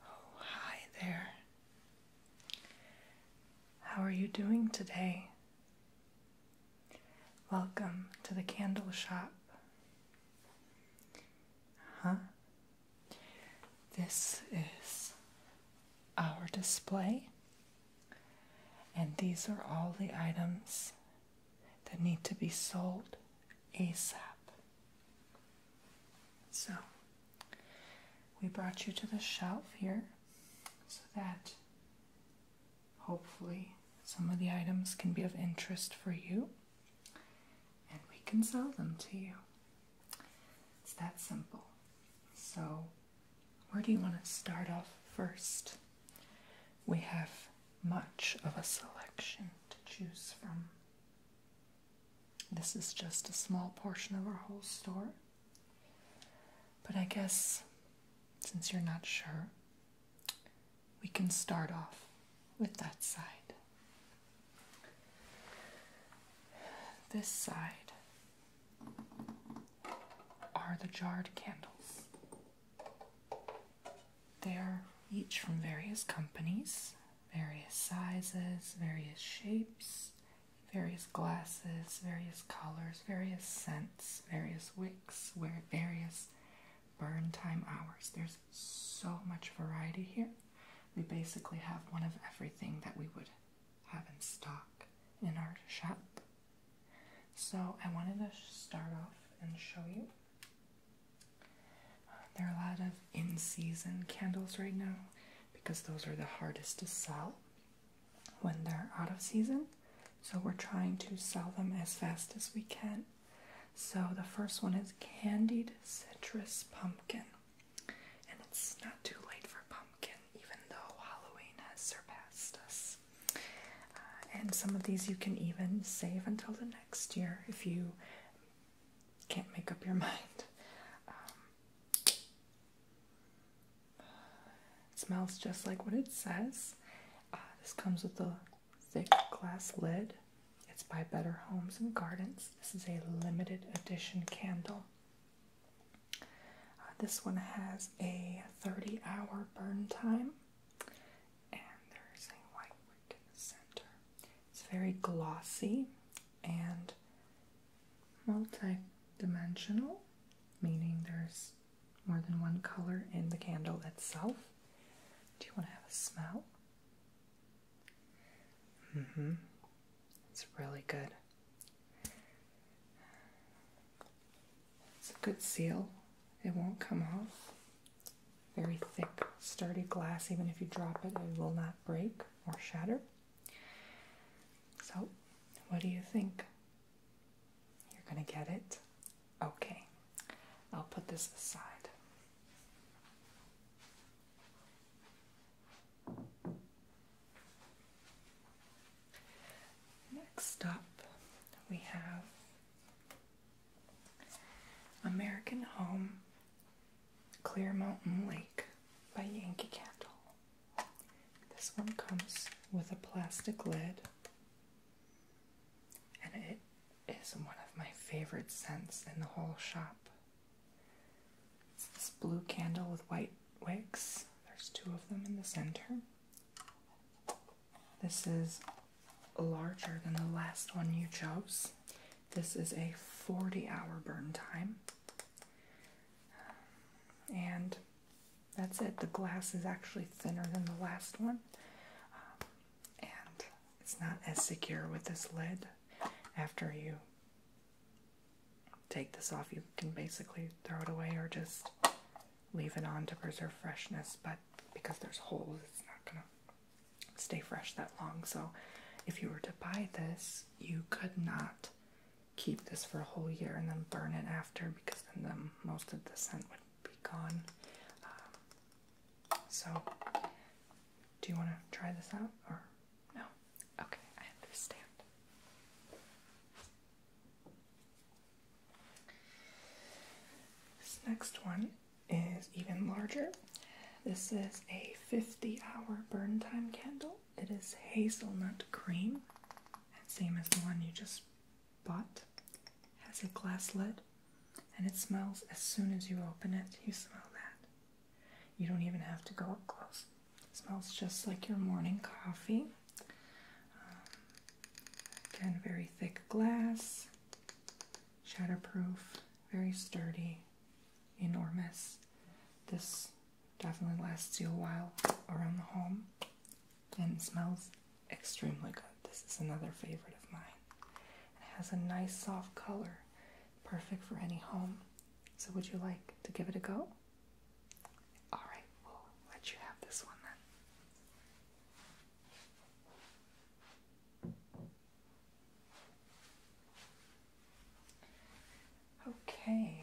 Oh, hi there. How are you doing today? Welcome to the candle shop. Huh? This is our display and these are all the items that need to be sold ASAP. So, we brought you to the shelf here so that hopefully some of the items can be of interest for you and we can sell them to you. It's that simple. So, where do you want to start off first? We have much of a selection to choose from. This is just a small portion of our whole store. But I guess since you're not sure, we can start off with that side. This side are the jarred candles. They are each from various companies, various sizes, various shapes, various glasses, various colors, various scents, various wicks, various burn time hours. There's so much variety here. We basically have one of everything that we would have in stock in our shop. So I wanted to start off and show you. Uh, there are a lot of in season candles right now because those are the hardest to sell when they're out of season. So we're trying to sell them as fast as we can. So the first one is Candied Citrus Pumpkin. And it's not too late for pumpkin even though Halloween has surpassed us. Uh, and some of these you can even save until the next year if you can't make up your mind. Um, smells just like what it says. Uh, this comes with a thick glass lid. It's by Better Homes and Gardens. This is a limited edition candle. Uh, this one has a 30 hour burn time, and there's a white center. It's very glossy and multi dimensional, meaning there's more than one color in the candle itself. Do you want to have a smell? Mm hmm. It's really good. It's a good seal, it won't come off. Very thick, sturdy glass, even if you drop it, it will not break or shatter. So, what do you think? You're gonna get it? Okay, I'll put this aside. Next up, we have American Home Clear Mountain Lake by Yankee Candle. This one comes with a plastic lid, and it is one of my favorite scents in the whole shop. It's this blue candle with white wicks. There's two of them in the center. This is larger than the last one you chose. This is a 40 hour burn time. And that's it. The glass is actually thinner than the last one. and it's not as secure with this lid after you take this off, you can basically throw it away or just leave it on to preserve freshness. But because there's holes, it's not gonna stay fresh that long. So, if you were to buy this, you could not keep this for a whole year and then burn it after because then most of the scent would be gone. Um, so, do you want to try this out or no? Okay, I understand. This next one is even larger. This is a 50 hour burn time candle. It is hazelnut cream, same as the one you just bought. has a glass lid and it smells as soon as you open it. You smell that. You don't even have to go up close. Smells just like your morning coffee. Um, again, very thick glass, shatterproof, very sturdy, enormous. This definitely lasts you a while around the home and smells extremely good. This is another favorite of mine. It has a nice soft color, perfect for any home. So, would you like to give it a go? Alright, we'll let you have this one then. Okay.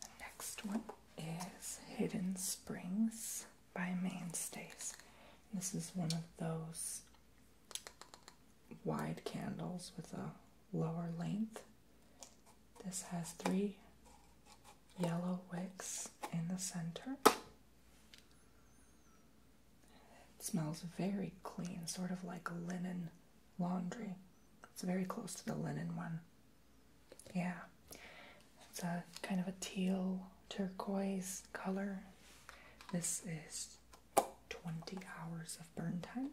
The next one is Hidden Springs by Mainstays. This is one of those wide candles with a lower length. This has three yellow wicks in the center. smells very clean, sort of like linen laundry. It's very close to the linen one. Yeah. It's a kind of a teal turquoise color. This is 20 hours of burn time.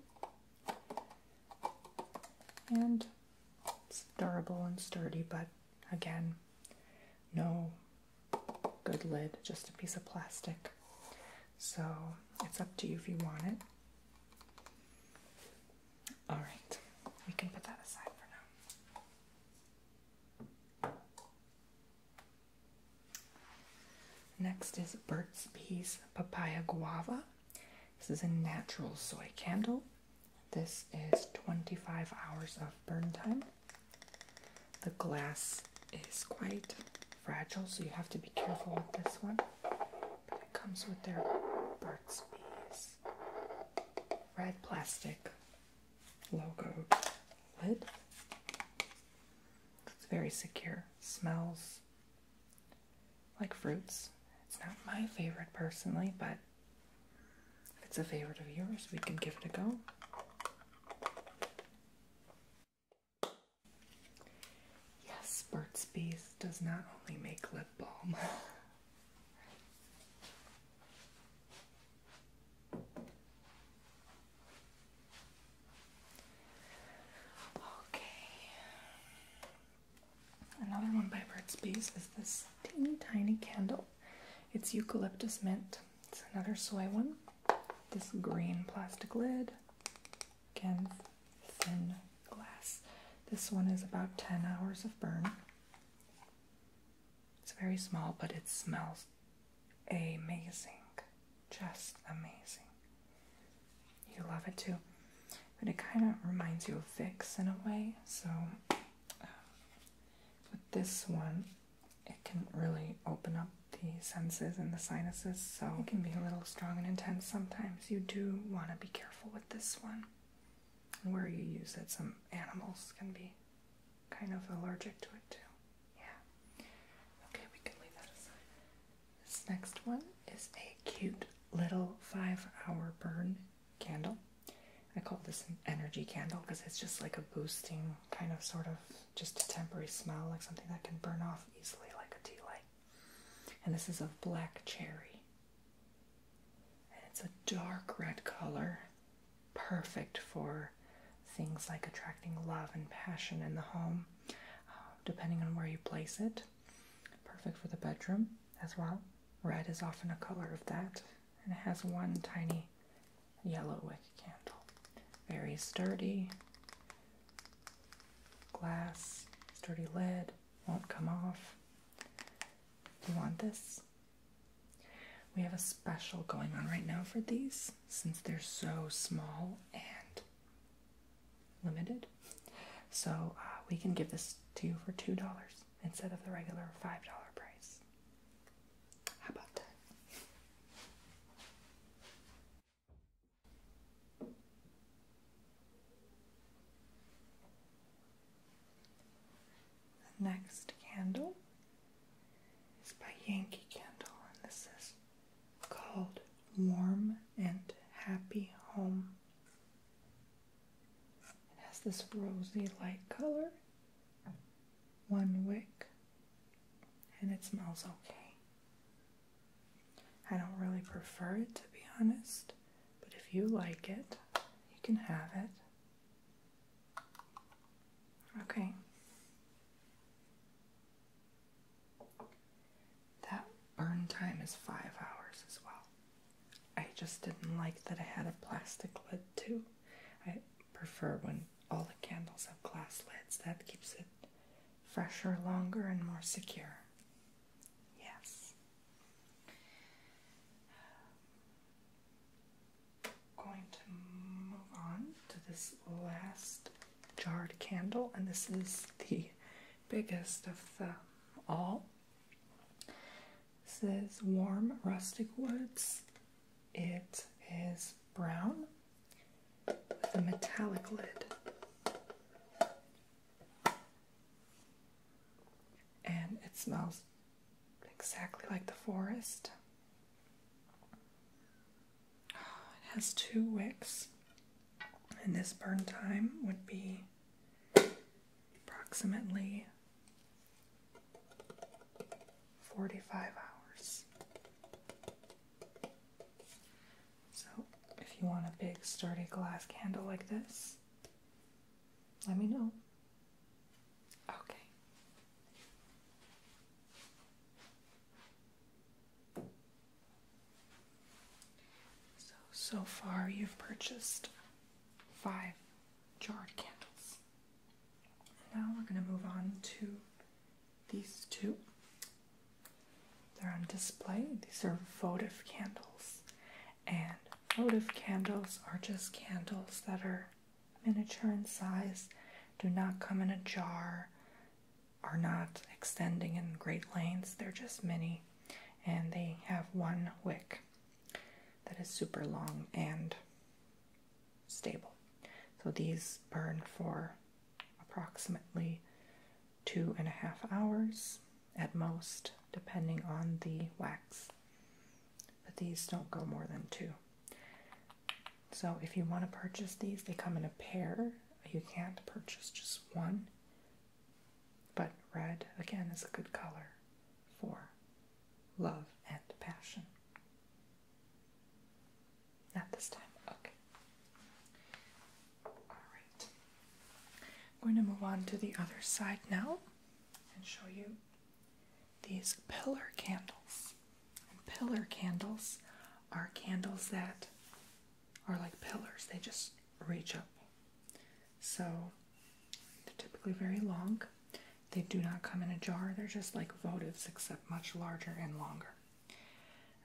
And it's durable and sturdy, but again, no good lid, just a piece of plastic. So it's up to you if you want it. Alright, we can put that aside for now. Next is Burt's Bees Papaya Guava. This is a natural soy candle. This is 25 hours of burn time. The glass is quite fragile, so you have to be careful with this one. But it comes with their Burt's Bees red plastic logo lid. It's very secure. Smells like fruits. It's not my favorite personally, but if it's a favorite of yours, we can give it a go. Yes, Burt's Bees does not only make lip balm. Okay. Another one by Bird Space is this teeny tiny candle. It's eucalyptus mint. It's another soy one. This green plastic lid. Again, thin glass. This one is about 10 hours of burn. It's very small, but it smells amazing. Just amazing. You love it too. But it kind of reminds you of fix in a way. So, uh, with this one, it can really open up the senses and the sinuses. So, it can be a little strong and intense sometimes. You do want to be careful with this one. And where you use it, some animals can be kind of allergic to it too. Yeah. Okay, we can leave that aside. This next one is a cute little five hour burn candle. I call this an energy candle because it's just like a boosting kind of sort of just a temporary smell, like something that can burn off easily, like a tea light. And this is a black cherry. it's a dark red color, perfect for things like attracting love and passion in the home. Uh, depending on where you place it, Perfect for the bedroom as well. Red is often a color of that. And it has one tiny yellow wick candle. Very sturdy. Glass, sturdy lid, won't come off. you want this? We have a special going on right now for these since they're so small and limited. So uh, we can give this to you for $2 instead of the regular $5 price. How about that? next candle is by Yankee Candle, and this is called Warm and Happy Home. It has this rosy light color, one wick, and it smells okay. I don't really prefer it to be honest, but if you like it, you can have it. Okay that burn time is five hours as well. I just didn't like that I had a plastic lid too. I prefer when all the candles have glass lids. That keeps it fresher, longer, and more secure. Yes. Going to move on to this last jarred candle, and this is the biggest of them all. This is Warm Rustic Woods. It is brown with a metallic lid. And it smells exactly like the forest. Ah, it has two wicks, and this burn time would be approximately 45 hours. So, if you want a big, sturdy glass candle like this, let me know. Okay. So, so far you've purchased five jarred candles. Now we're going to move on to these two. They're on display. These are votive candles. And votive candles are just candles that are miniature in size, do not come in a jar, are not extending in great lengths. They're just mini and they have one wick that is super long and stable. So these burn for approximately two and a half hours at most, depending on the wax. But these don't go more than two. So if you want to purchase these, they come in a pair. You can't purchase just one. But red, again, is a good color for love and passion. Not this time, okay. Alright. I'm going to move on to the other side now and show you these pillar candles. pillar candles are candles that are like pillars, they just reach up. So they're typically very long. They do not come in a jar, they're just like votives, except much larger and longer.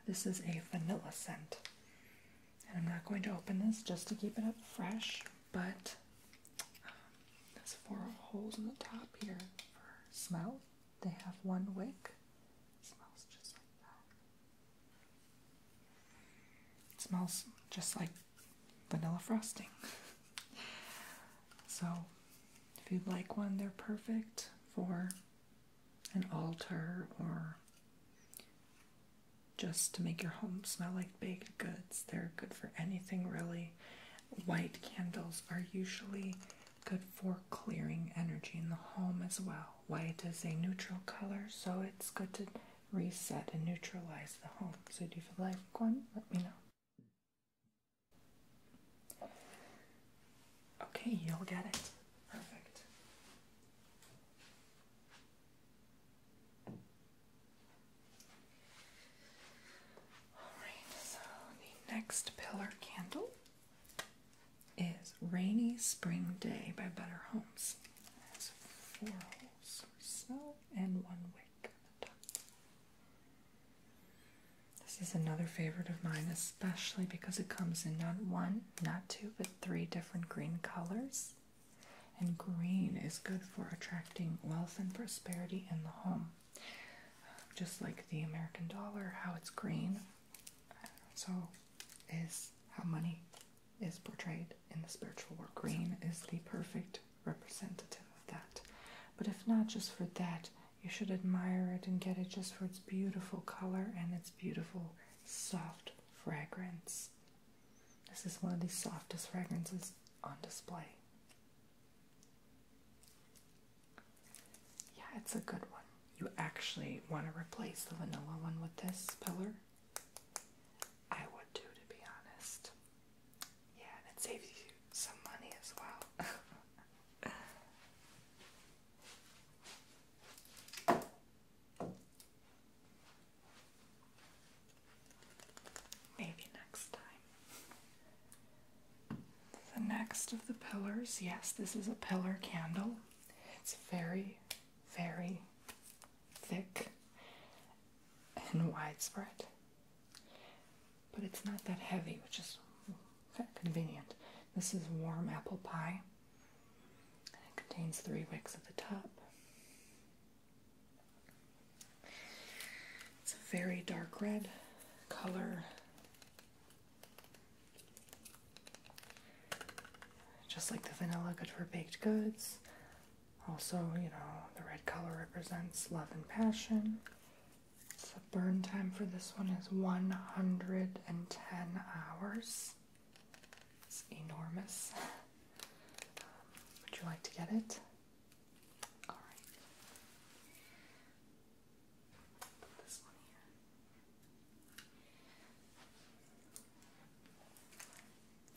This is a vanilla scent. And I'm not going to open this just to keep it up fresh, but um, there's four holes in the top here for smell. They have one wick. smells just like that. It smells just like vanilla frosting. so, if you'd like one, they're perfect for an altar or just to make your home smell like baked goods. They're good for anything really. White candles are usually good for clearing energy in the home as well. White is a neutral color, so it's good to reset and neutralize the home. So, do you like one? Let me know. Okay, you'll get it. Perfect. Alright, so the next pillar candle is Rainy Spring Day by Better Homes. This is another favorite of mine, especially because it comes in not one, not two, but three different green colors. And green is good for attracting wealth and prosperity in the home. Um, just like the American dollar, how it's green, so is how money is portrayed in the spiritual work. Green is the perfect representative of that. But if not just for that, you should admire it and get it just for its beautiful color and its beautiful soft fragrance. This is one of the softest fragrances on display. Yeah, it's a good one. You actually want to replace the vanilla one with this pillar I would too, to be honest. Yeah, and it saves you some money as well. Maybe next time. The next of the pillars, yes, this is a pillar candle. It's very, very thick and widespread. But it's not that heavy, which is convenient. This is warm apple pie. And it contains three wicks at the top. It's a very dark red color. Just like the vanilla, good for baked goods. Also, you know, the red color represents love and passion. The burn time for this one is 110 hours. It's enormous. Um, would you like to get it? All right. Put this one here.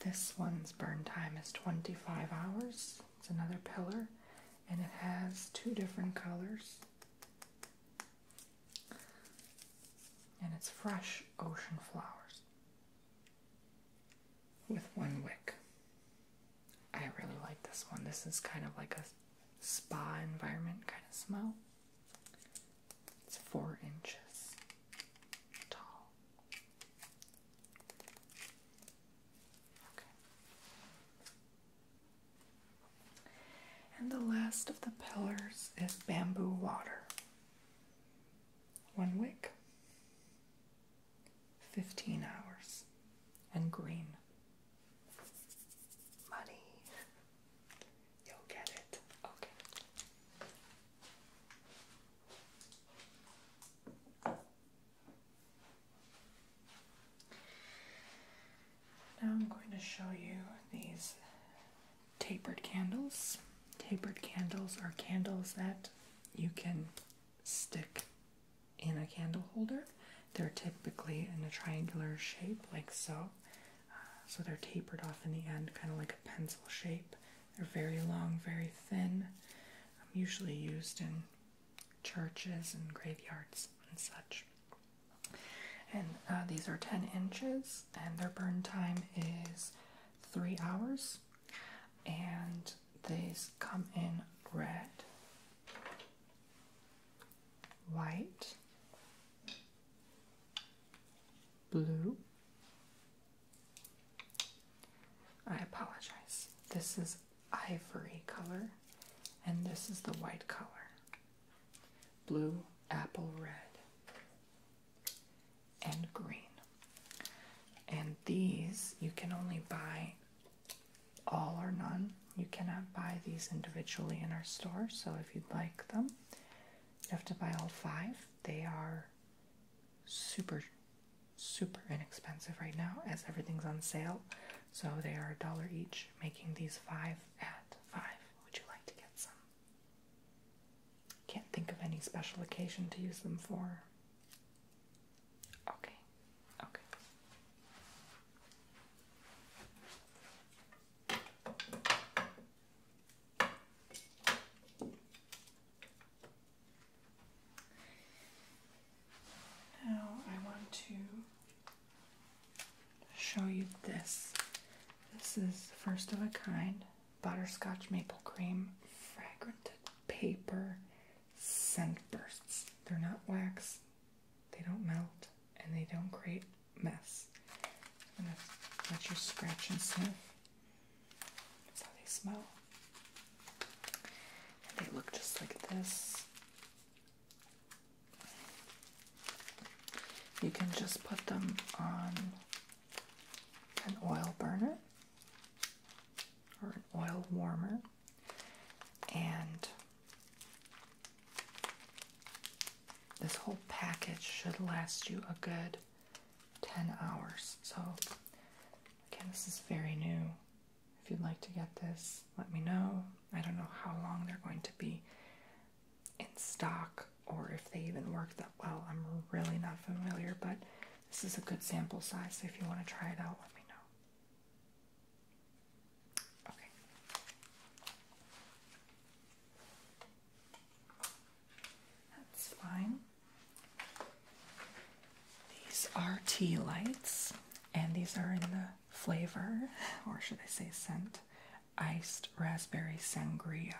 This one's burn time is 25 hours. It's another pillar and it has two different colors. And it's fresh ocean flowers with one wick. I really like this one. This is kind of like a spa environment kind of smell. It's four inches tall. Okay. And the last of the pillars is bamboo water. One wick, 15 hours, and green. Muddy. You'll get it. Okay. Now I'm going to show you these tapered candles. Tapered candles are candles that you can stick in a candle holder. They're typically in a triangular shape, like so so they're tapered off in the end, kind of like a pencil shape. They're very long, very thin. I'm um, usually used in churches and graveyards and such. And uh, these are 10 inches, and their burn time is three hours. And these come in red, white, blue. I apologize. This is ivory color, and this is the white color. Blue, apple red, and green. And these you can only buy all or none. You cannot buy these individually in our store, so if you'd like them, you have to buy all five. They are super, super inexpensive right now as everything's on sale. So they are a dollar each, making these five at five. Would you like to get some? Can't think of any special occasion to use them for. Okay, okay. Now I want to show you this. This is first of a kind butterscotch maple cream fragranted paper scent bursts. They're not wax, they don't melt, and they don't create mess. I'm gonna let you scratch and sniff. That's how they smell. they look just like this. You can just put them on an oil burner or an oil warmer and this whole package should last you a good 10 hours. So, again, this is very new. If you'd like to get this, let me know. I don't know how long they're going to be in stock or if they even work that well. I'm really not familiar, but this is a good sample size. So, if you want to try it out, let me know. Okay. That's fine. These are tea lights, and these are in the flavor, or should I say scent, iced raspberry sangria.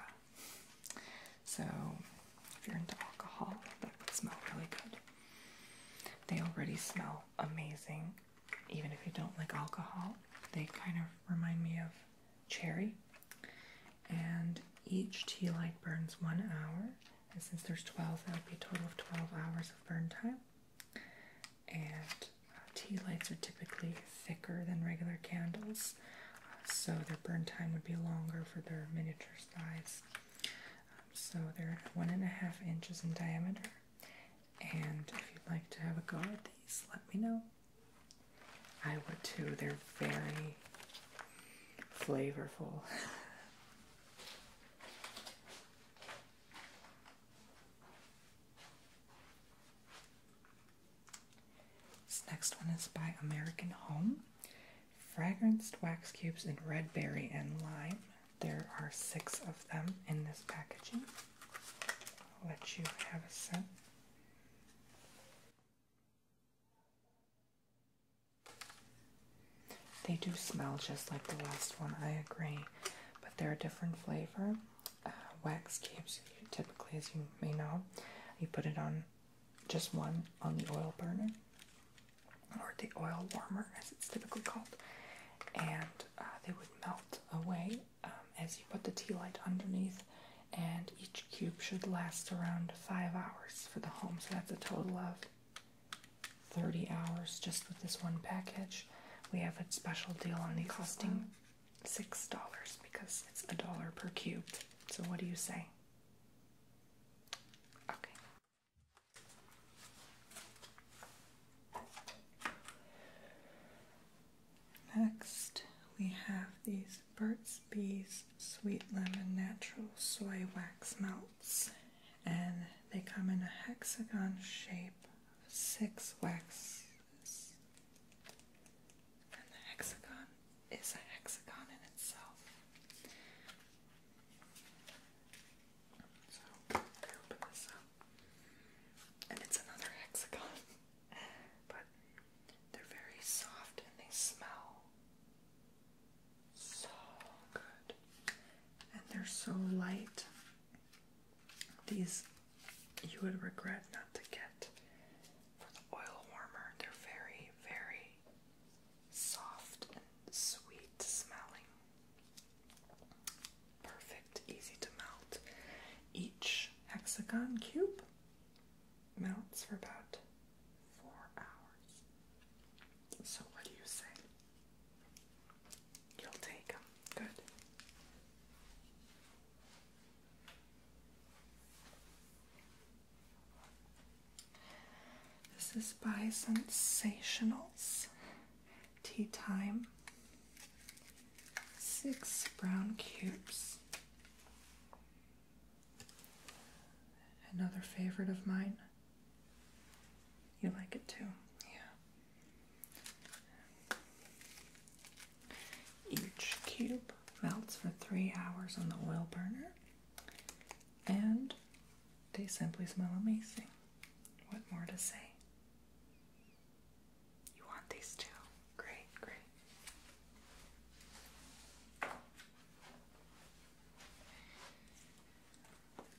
So, if you're into alcohol, that would smell really good. They already smell amazing, even if you don't like alcohol. They kind of remind me of cherry and each tea light burns one hour. And since there's 12, that would be a total of 12 hours of burn time. And uh, tea lights are typically thicker than regular candles, uh, so their burn time would be longer for their miniature size. Um, so they're one and a half inches in diameter. And if you'd like to have a go at these, let me know. I would too. They're very flavorful. this next one is by American Home. Fragranced wax cubes in red berry and lime. There are six of them in this packaging. I'll let you have a scent. They do smell just like the last one, I agree, but they're a different flavor. Uh, wax cubes, typically, as you may know, you put it on just one on the oil burner or the oil warmer, as it's typically called, and uh, they would melt away um, as you put the tea light underneath and each cube should last around five hours for the home. So that's a total of 30 hours just with this one package. We have a special deal on these costing six dollars because it's a dollar per cube. So what do you say? Okay. Next, we have these Burt's Bees Sweet Lemon Natural Soy Wax Melts, and they come in a hexagon shape of six waxes. And the hexagon is a hexagon in itself. So, I open this up, and it's another hexagon. but they're very soft and they smell so good. And they're so light. These you would regret not to get for the oil warmer. They're very, very soft and sweet smelling. Perfect, easy to melt. Each hexagon cube melts for about four hours. So, what do you say? You'll take them. Good. This is by Sensationals Tea Time. Six brown cubes. Another favorite of mine. You like it too, yeah. Each cube melts for three hours on the oil burner, and they simply smell amazing. What more to say? You want these too? Great, great.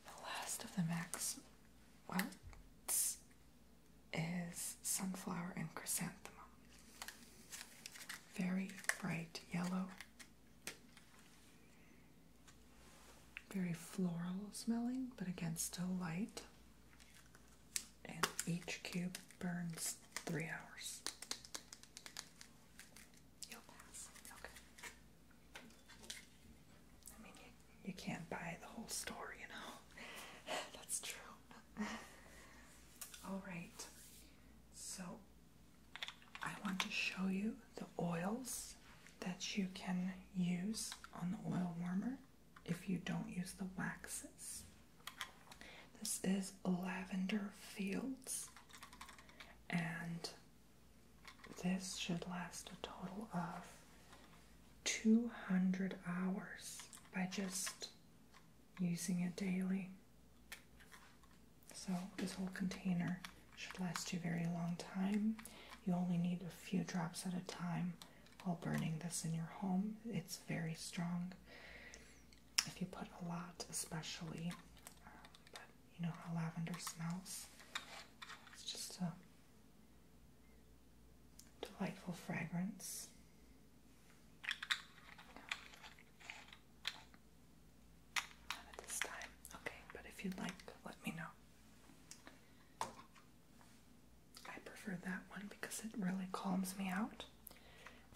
The last of the max works is sunflower and chrysanthemum. Very bright yellow. Very floral smelling, but again, still light and each cube burns three hours. You'll pass. Okay. I mean, you, can't buy the whole store, you know. That's true. All right. So I want to show you the oils that you can use on the oil warmer if you don't use the waxes. This is Lavender Fields, and this should last a total of 200 hours by just using it daily. So, this whole container should last you a very long time. You only need a few drops at a time while burning this in your home. It's very strong if you put a lot, especially. Um, you know how lavender smells? It's just a delightful fragrance. Not at this time. Okay, but if you'd like, let me know. I prefer that one because it really calms me out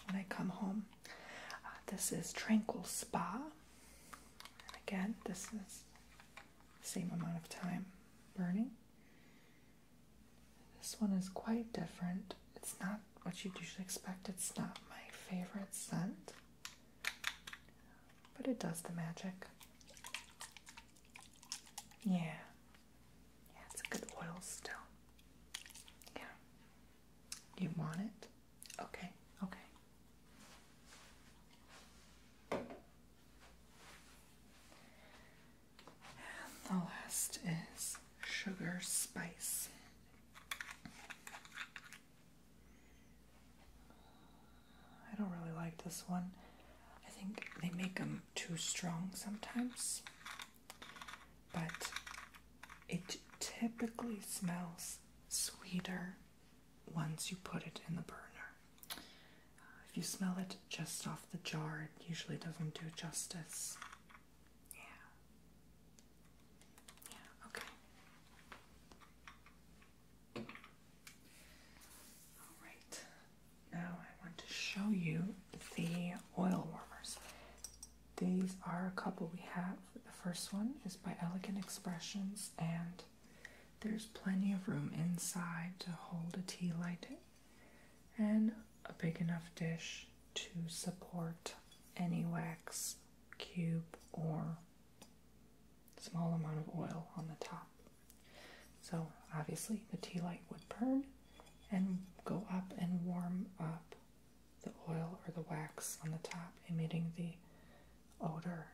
when I come home. Uh, this is Tranquil Spa. And again, this is the same amount of time burning. This one is quite different. It's not what you'd usually expect. It's not my favorite scent, but it does the magic. Yeah, yeah, it's a good oil still. Yeah. You want it? Okay, okay. the last is sugar spice. I don't really like this one. I think they make them too strong sometimes but it typically smells sweeter once you put it in the burner. Uh, if you smell it just off the jar, it usually doesn't do justice. Yeah. Yeah, okay. Alright, now I want to show you the oil warmers these are a couple we have. The first one is by Elegant Expressions, and there's plenty of room inside to hold a tea light and a big enough dish to support any wax cube or small amount of oil on the top. So obviously the tea light would burn and go up and warm up the oil or the wax on the top, emitting the odor.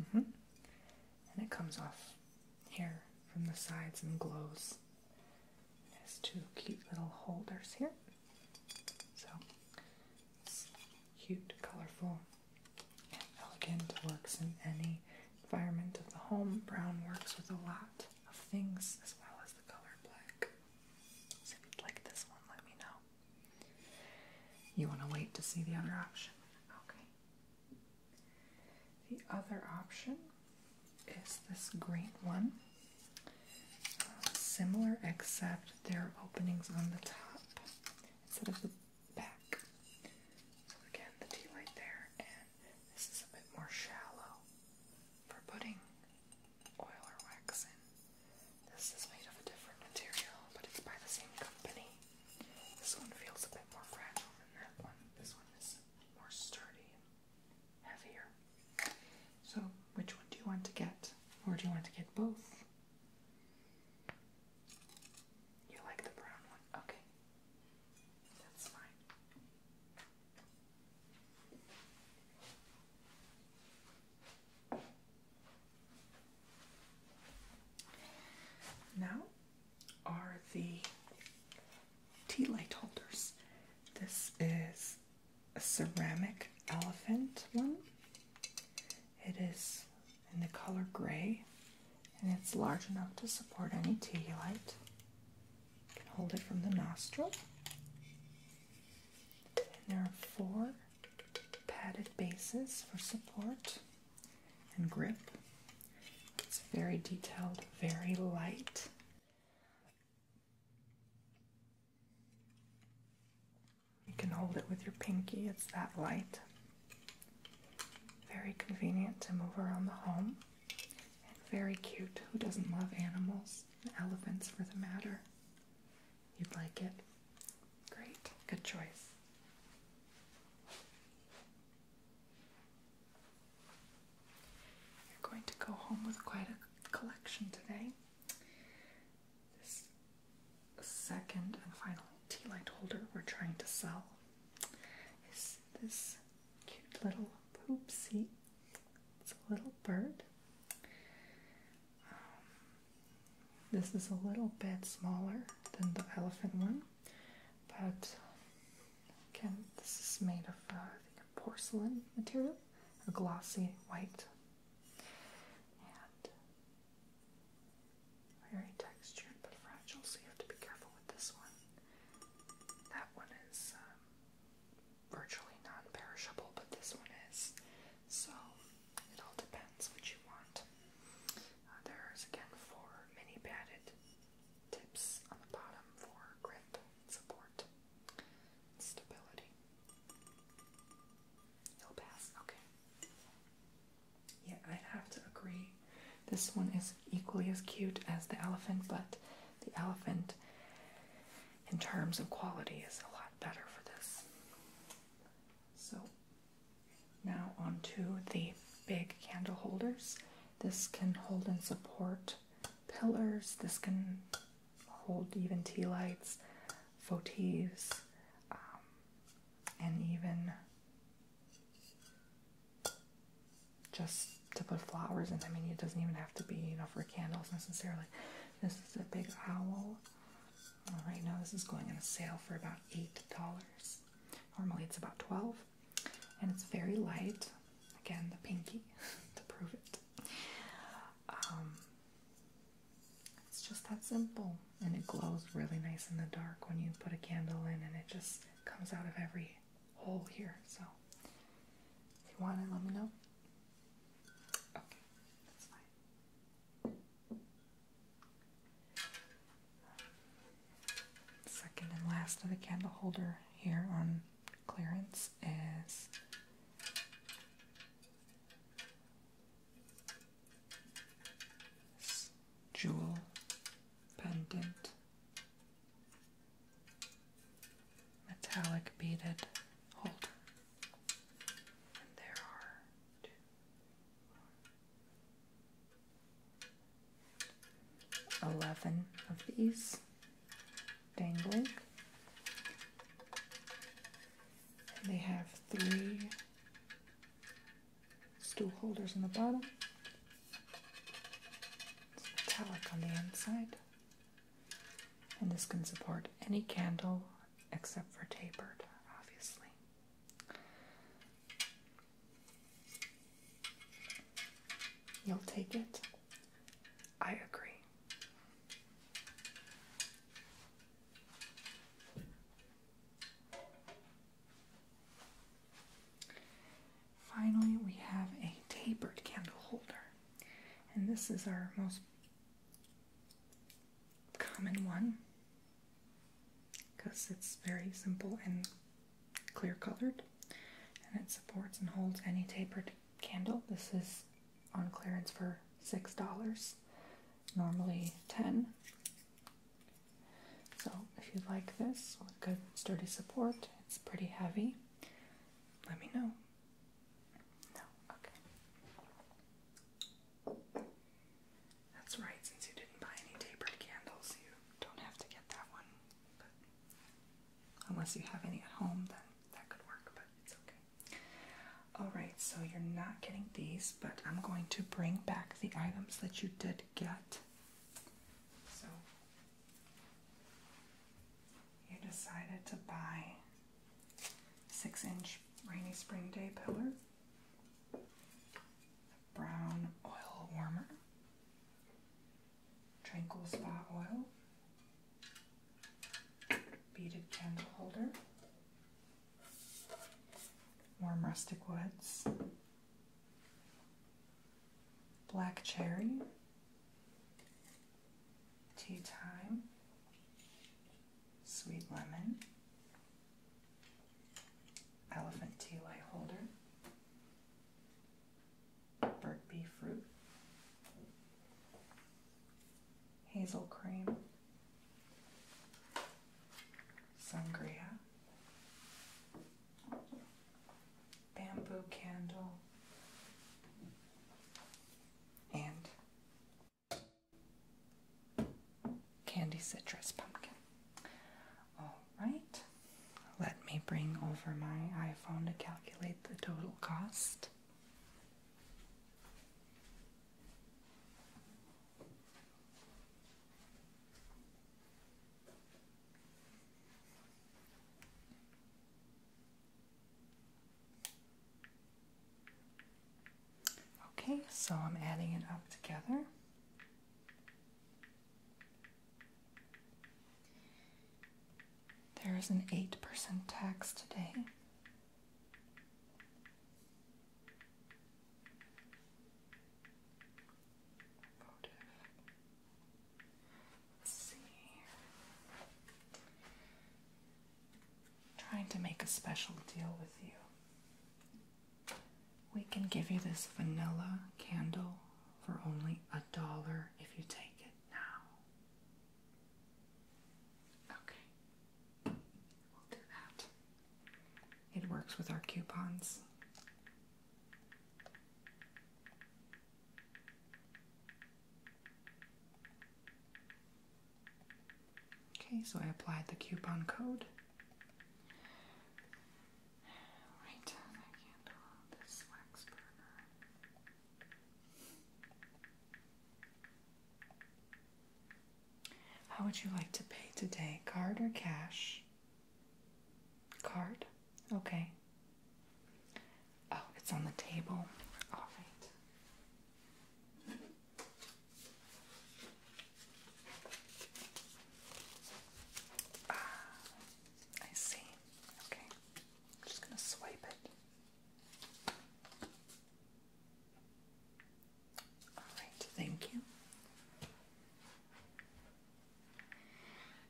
Mm-hmm. And it comes off here from the sides and glows. It has two cute little holders here. So cute, colorful, and elegant. Works in any environment of the home. Brown works with a lot of things as well as the color black. So if you'd like this one, let me know. You want to wait to see the other option? Okay. The other option is this green one. Uh, similar, except there are openings on the top instead of the back. So again, the tea light there this is a bit more shallow for putting oil or wax in. This is made of a different material, but it's by the same company. This one feels a bit more fragile than that one. This one is more sturdy heavier. So, which one do you want to get? Or do you want to get both? You like the brown one? Okay. That's fine. Now are the tea light holders. This is a ceramic elephant one. It is in the color gray and it's large enough to support any tea light can hold it from the nostril. And there are four padded bases for support and grip. It's very detailed, very light. You can hold it with your pinky, it's that light. Very convenient to move around the home. Very cute. Who doesn't love animals? Elephants, for the matter. You'd like it? Great. Good choice. You're going to go home with quite a collection today. This second and final tea light holder we're trying to sell is this Cute little poopsie. It's a little bird. Um, this is a little bit smaller than the elephant one, but again, this is made of uh, I think porcelain material, a glossy white, and very textured but fragile. So to be careful with this one. That one is um, virtually non-perishable, but this one is. So it all depends what you want. Uh, there's again four mini padded tips on the bottom for grip, support, stability. You'll pass, okay. Yeah, i have to agree. This one is equally as cute as the elephant, but the elephant in terms of quality is a lot better for this. So now onto the big candle holders. This can hold and support pillars. This can hold even tea lights, votives, um, and even just to put flowers in. I mean, it doesn't even have to be, you know, for candles necessarily. This is a big owl. All right now, this is going on a sale for about eight dollars. Normally, it's about twelve, and it's very light. Again, the pinky to prove it. Um, it's just that simple, and it glows really nice in the dark when you put a candle in, and it just comes out of every hole here. So if you want it, let me know. Second and last of the candle holder here on clearance is jewel pendant metallic beaded holder. there are 11 of these dangling. they have three stool holders on the bottom. It's metallic on the inside. And this can support any candle except for tapered, obviously. You'll take it. I agree. Finally, we have a tapered candle holder, and this is our most common one because it's very simple and clear colored, and it supports and holds any tapered candle. This is on clearance for six dollars, normally ten. So, if you like this with good sturdy support, it's pretty heavy let me know. No, okay. That's right, since you didn't buy any tapered candles, you don't have to get that one. unless you have any at home, then that could work, but it's okay. Alright, so you're not getting these, but I'm going to bring back the items that you did get. So you decided to buy six inch rainy spring day pillar, brown oil warmer, tranquil spa oil, beaded candle holder, warm rustic woods, black cherry, Tea Time, Sweet Lemon, Elephant Tea Light Holder, Bird Bee Fruit, Hazel Cream, Sangria, bamboo candle and candy citrus pumpkin. All right, let me bring over my iPhone to calculate the total cost. Okay, so I'm adding it up together. There is an 8% tax today. Trying to make a special deal with you. We can give you this vanilla candle for only a dollar if you take it now. Okay, we'll do that. It works with our coupons. Okay, so I applied the coupon code. How would you like to pay today? Card or cash? Card? Okay. Oh, it's on the table. All right. Ah, I see. Okay. I'm just going to swipe it. All right, thank you.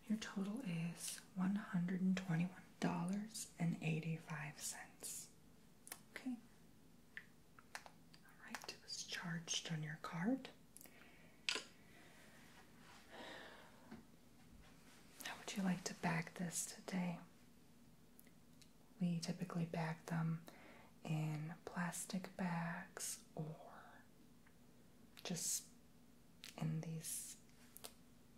Your total is 121 Dollars and eighty-five cents. Okay. All right, it was charged on your card. How would you like to bag this today? We typically bag them in plastic bags or just in these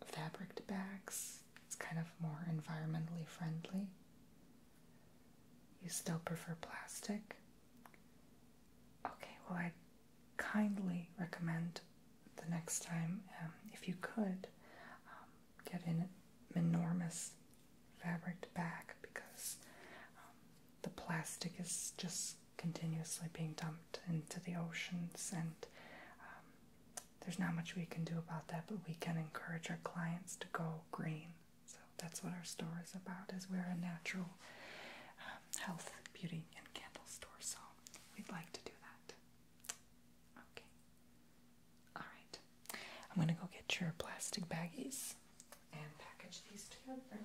fabric bags. It's kind of more environmentally friendly. You still prefer plastic? Okay, well, I kindly recommend the next time, um, if you could, um, get an enormous fabric bag because um, the plastic is just continuously being dumped into the oceans, and um, there's not much we can do about that, but we can encourage our clients to go green. So that's what our store is about, is we're a natural um, health, beauty, and candle store, so we'd like to do that. Okay. Alright. I'm going to go get your plastic baggies and package these together.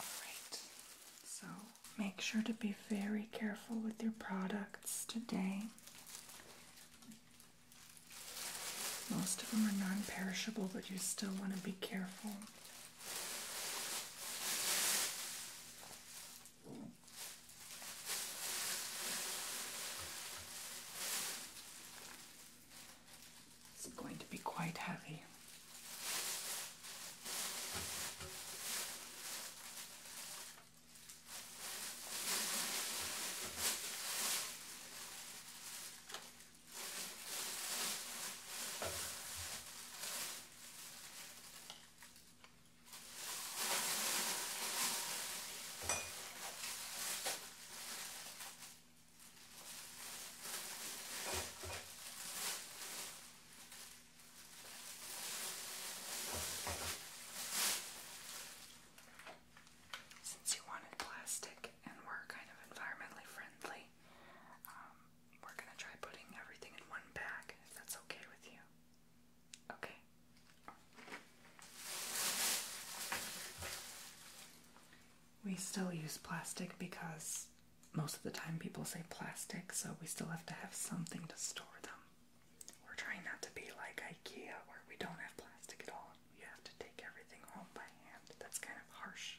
Alright, so make sure to be very careful with your products today. Most of them are non perishable, but you still want to be careful. It's going to be quite heavy. Since you wanted plastic and we're kind of environmentally friendly, um, we're going to try putting everything in one bag if that's okay with you. Okay. We still use plastic because most of the time people say plastic, so we still have to have something to store them. We're trying not to be like IKEA where we don't have plastic at all. You have to take everything home by hand. That's kind of harsh.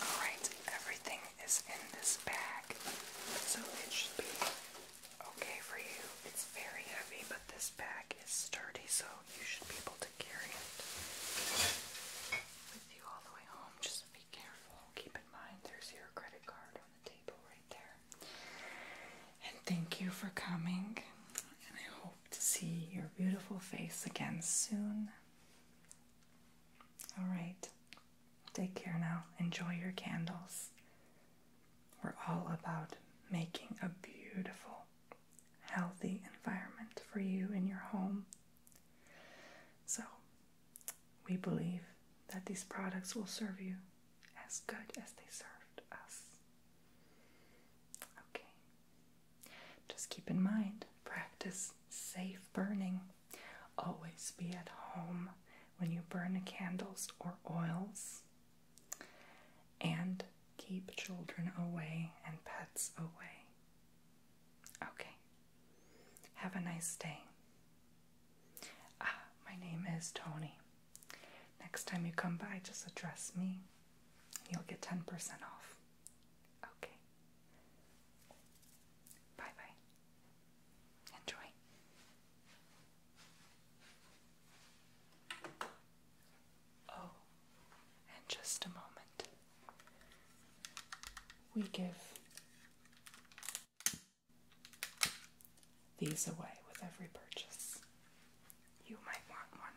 Alright, everything is in this bag, so it should be okay for you. It's very heavy, but this bag is sturdy, so you should be able to carry it with you all the way home. Just be careful. Keep in mind there's your credit card on the table right there. And thank you for coming, and I hope to see your beautiful face again soon. All right. Take care now. Enjoy your candles. We're all about making a beautiful, healthy environment for you in your home. So, we believe that these products will serve you as good as they served us. Okay, just keep in mind, practice safe burning. Always be at home when you burn candles or oils. And keep children away and pets away. Okay. Have a nice day. Ah, my name is Tony. Next time you come by, just address me. You'll get 10% off. Okay. Bye bye. Enjoy. Oh, and just a moment. We give these away with every purchase. You might want one.